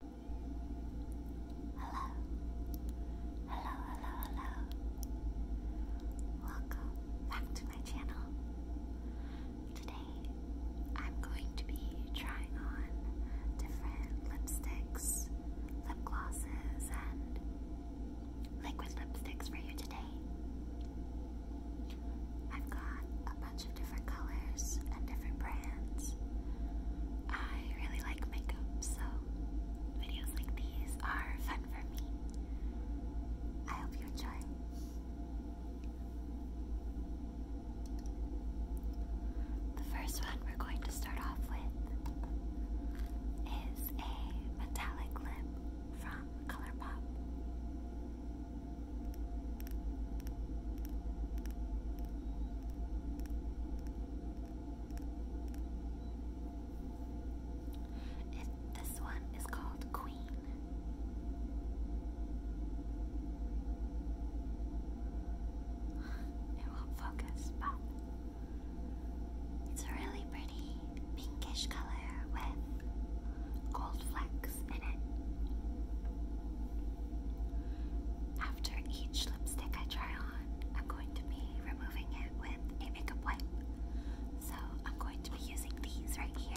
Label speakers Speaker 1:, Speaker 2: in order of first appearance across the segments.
Speaker 1: Hello. Hello, hello, hello. Welcome back to my channel. Today I'm going to be trying on different lipsticks, lip glosses, and liquid lipsticks for you today. I've got a bunch of different colors and different brands. I really like makeup, so videos like these are fun for me. I hope you enjoy. The first one we're going to start off with is a metallic lip from ColourPop this one is called Queen. It will focus, but it's a really pretty pinkish color with gold flecks in it. After each lipstick I try on, I'm going to be removing it with a makeup wipe. So I'm going to be using these right here.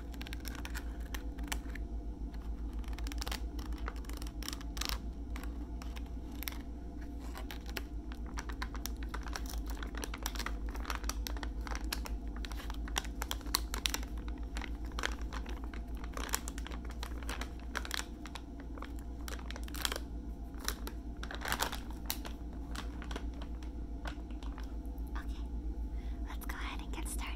Speaker 1: Okay, let's go ahead and get started.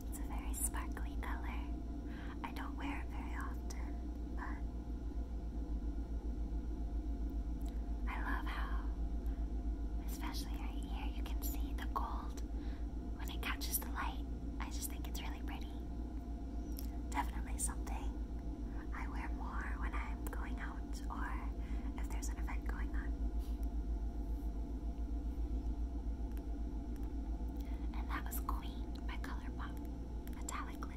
Speaker 1: It's a very sparkly color. I don't wear it very often, but I love how, especially right here, you can see the gold when it catches the light. I just think it's really pretty. Definitely something I wear more when I'm going out or if there's an event going on. And that was Queen by Colourpop Metallic Lip.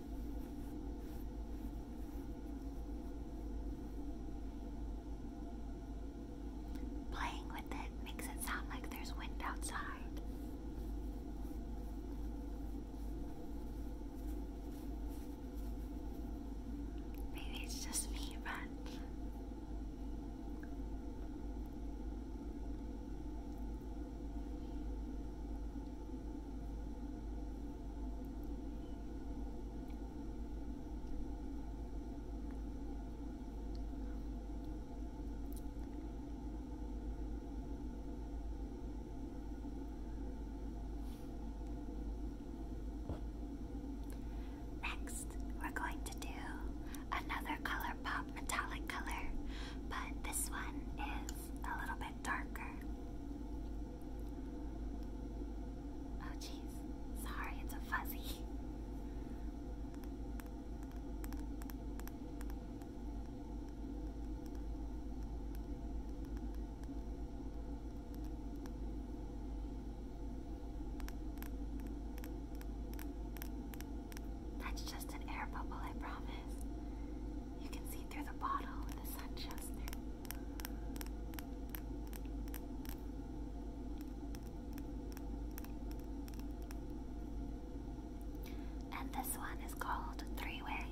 Speaker 1: Playing with it makes it sound like there's wind outside. Maybe it's just me, but. Next, we're going to do another color pop metallic color, but this one is a little bit. Oh jeez, sorry, it's a fuzzy. That's just an air bubble, I promise. You can see through the bottle, the sun shows through. And this one is called Three Way.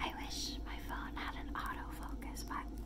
Speaker 1: I wish my phone had an autofocus but.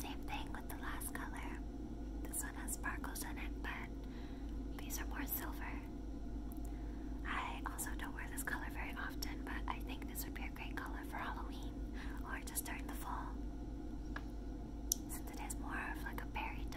Speaker 1: Same thing with the last color. This one has sparkles in it, but these are more silver. I also don't wear this color very often, but I think this would be a great color for Halloween or just during the fall since it has more of like a berry tone.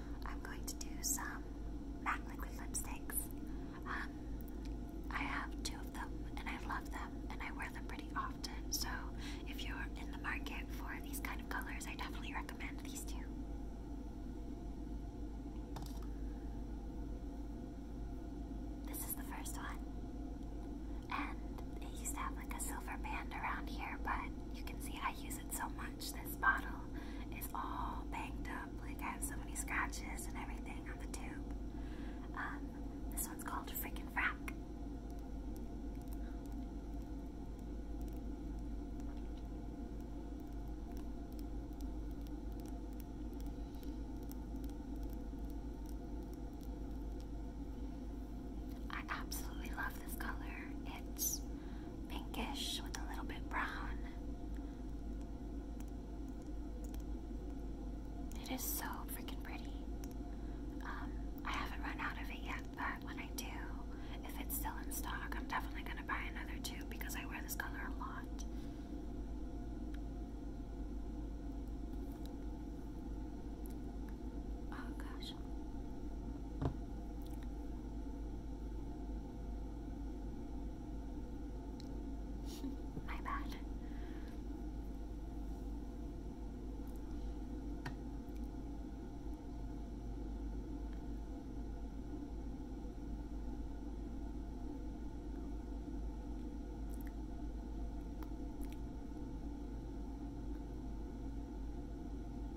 Speaker 1: I'm going to do some MAC liquid lipsticks. Um, I have two of them and I love them and I wear them pretty often. So if you're in the market for these kind of colors, I definitely recommend these two. This is the first one. And it used to have like a silver band around here, but you can see I use it so much this bottle is all banged up. Like I have so many scratches and everything on the tube. Um, this one's called Freaking Frack. I absolutely love this color. It's pinkish with a little bit brown. It is so freaking pretty. Um, I haven't run out of it yet, but when I do, if it's still in stock, I'm definitely gonna buy another two because I wear this color a lot. Oh gosh. My bad.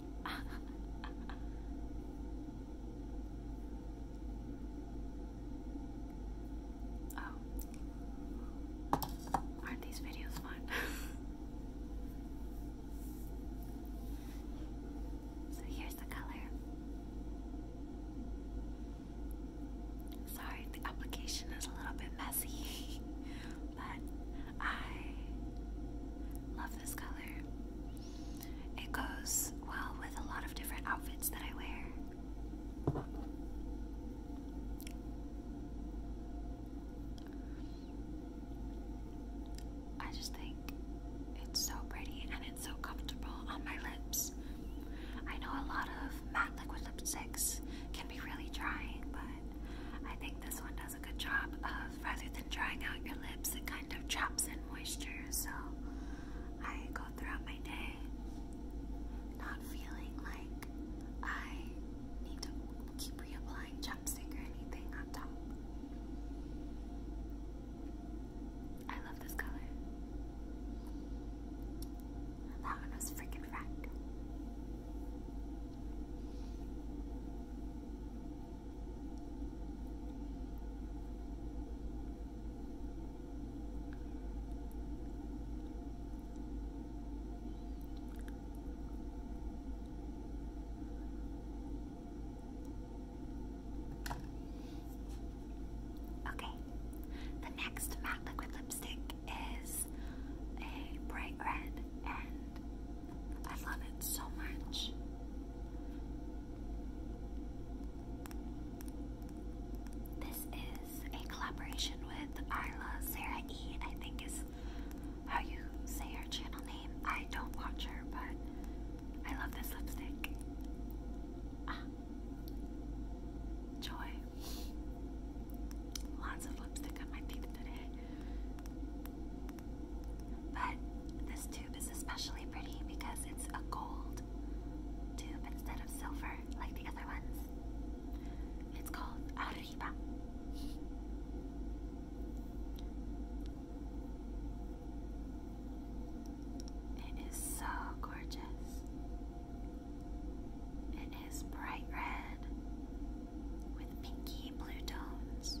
Speaker 1: Oh. Aren't these videos fun? so here's the color. Sorry, the application is a little bit messy, but I love this color. It goes well with a lot of different outfits that I wear. I just think it's so pretty and it's so comfortable on my lips. I know a lot of matte liquid lipsticks can be really drying, but I think this one does does a good job of, rather than drying out your lips, it kind of traps in moisture. So I go throughout my day not feeling like I need to keep reapplying chapstick or anything on top. I love this color. That one was freaking frack. Okay, the next matte liquid lipstick is a bright red and I love it so much. This is a collaboration with Arla Sarah E. I think is how you say her channel name. I don't watch her, but I love this lipstick. Ah. Joy. Lots of lipstick on my teeth today. But this tube is especially pretty because it's a gold tube instead of silver like the other ones. It's called Arriba. It is so gorgeous. It is bright red with pinky blue tones.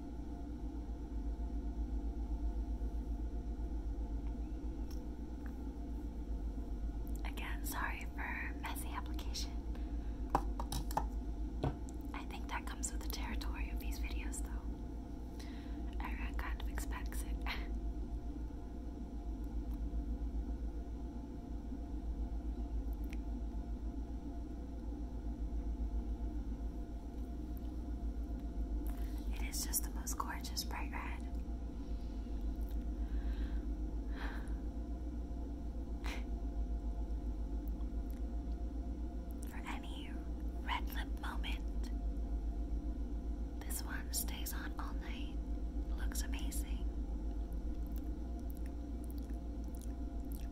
Speaker 1: Again, sorry for messy application. I think that comes with the territory of these videos, though. Everyone kind of expects it. It is just the most gorgeous bright red. For any red lip moment, this one stays on all night. Looks amazing.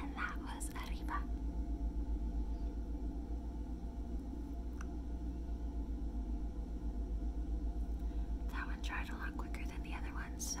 Speaker 1: And that was Arriba. That one dried a lot quicker than the other one, so.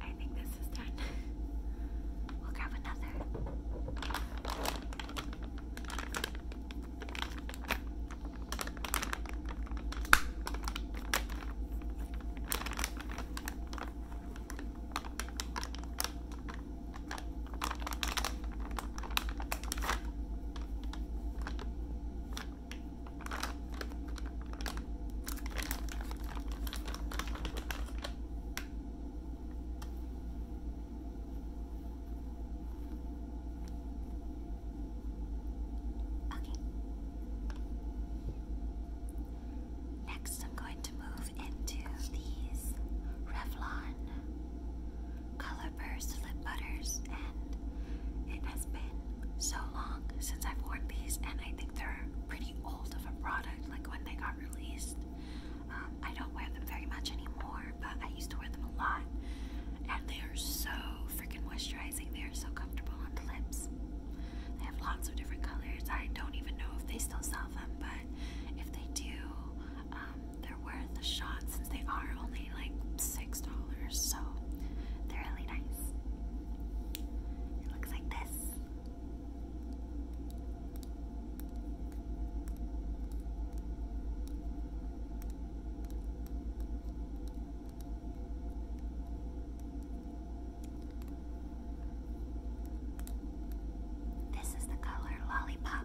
Speaker 1: I think this is done. we'll grab another. Okay. Next, I'm going to move into these Revlon. Lollipers, lip butters, and it has been so long since I've worn these, and I think they're pretty old of a product, like when they got released. Um, I don't wear them very much anymore, but I used to wear them a lot, and they are so freaking moisturizing. They are so comfortable on the lips. They have lots of different colors. I don't even know if they still sell them, but if they do, um, they're worth a shot since they are only like six dollars, so they're really nice. It looks like this. This is the color Lollipop.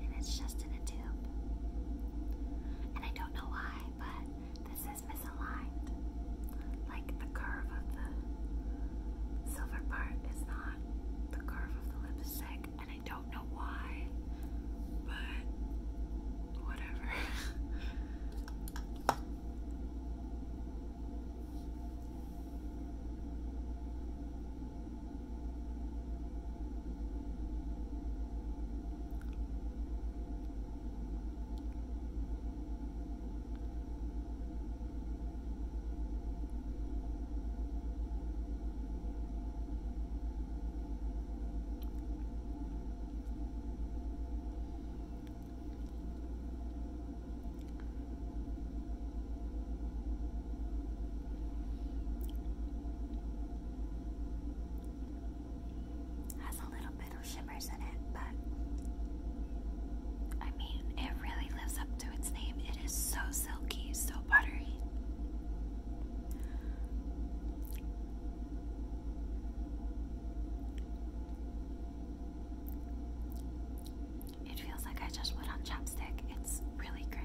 Speaker 1: And it's just in a tube. And I don't know why, but this is misaligned. Like the curve of the silver part is not the curve of the lipstick, I don't know why, but whatever. Has a little bit of shimmers in it, but I mean, it really lives up to its name. It is so silky, so buttery. It feels like I just put on chopstick. It's really great.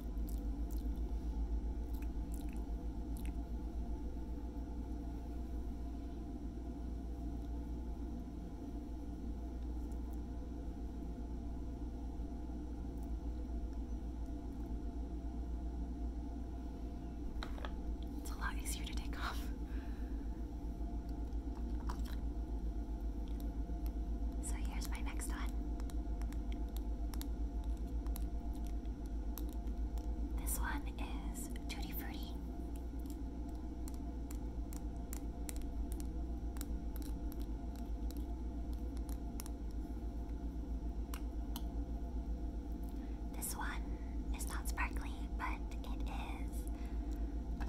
Speaker 1: It's a lot easier to take off. So here's my next one. This one is Tutti Frutti. This one is not sparkly, but it is.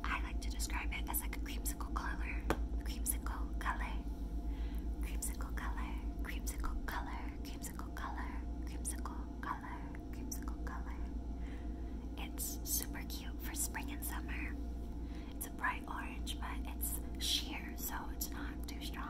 Speaker 1: I like to describe it as like a creamsicle color. creamsicle color. Creamsicle color, creamsicle color, creamsicle color, creamsicle color, creamsicle color. It's super cute for spring and summer. It's a bright orange, but it's sheer, so it's not too strong.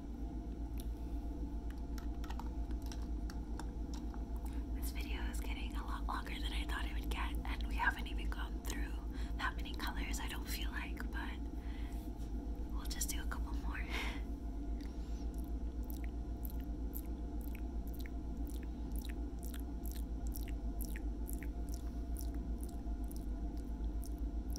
Speaker 1: This video is getting a lot longer than I thought it would get, and we haven't even gone through that many colors, I don't feel like, but we'll just do a couple more.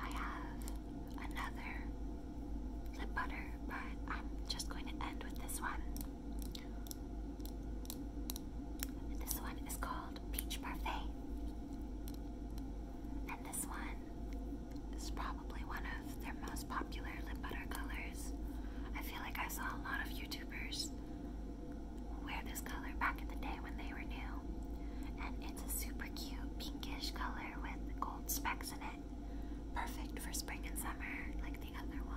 Speaker 1: I have another lip butter, but I'm just going to end with this one. This one is called Peach Parfait. And this one is probably one of most popular lip butter colors. I feel like I saw a lot of YouTubers wear this color back in the day when they were new. And it's a super cute pinkish color with gold specks in it. Perfect for spring and summer, like the other one.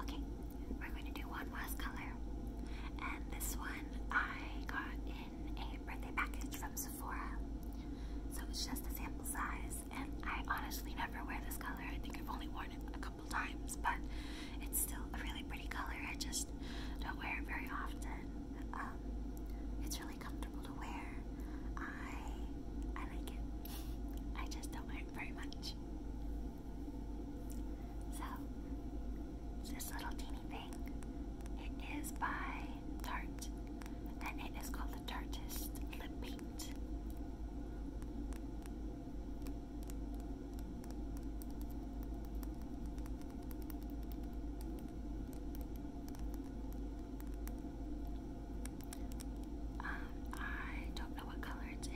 Speaker 1: Okay, we're going to do one last color. And this one I got in a birthday package from Sephora. So it's just a sample size and I honestly never wear this color. I think I've only worn it a couple times, but it's still a really pretty color. I just don't wear it very often. Um, it's really comfortable to wear. I I like it. I just don't wear it very much. So this little teeny thing. It is by Tarte, and it is called the Tartist Lip Paint. Um, I don't know what color it's in.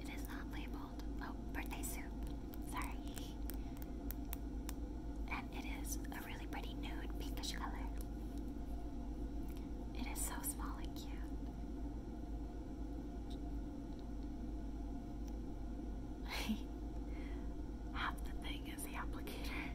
Speaker 1: It is not labeled. Oh, birthday soup. Sorry. And it is a really pretty nude pinkish color. It is so small and cute. Half the thing is the applicator.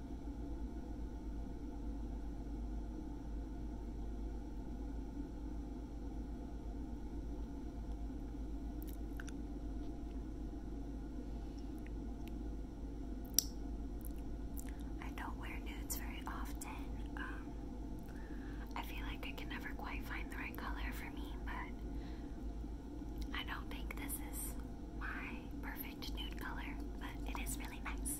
Speaker 1: I don't wear nudes very often. Um, I feel like I can never quite find the right color for me, but I don't think this is my perfect nude color, but it is really nice.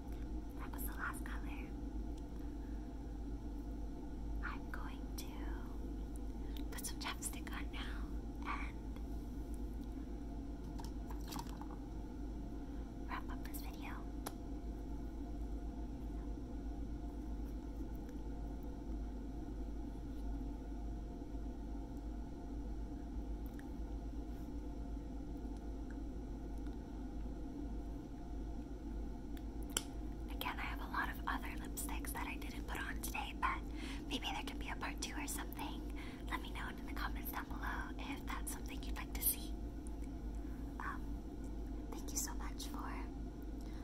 Speaker 1: That was the last color. I'm going to put some chapstick on now and wrap up this video. Again, I have a lot of other lipsticks that I didn't put on today, but maybe there can be a part two or something. Let me know in the comments down below if that's something you'd like to see. Um, thank you so much for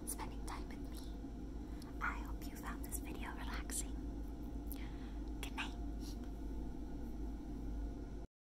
Speaker 1: spending time with me. I hope you found this video relaxing. Good night.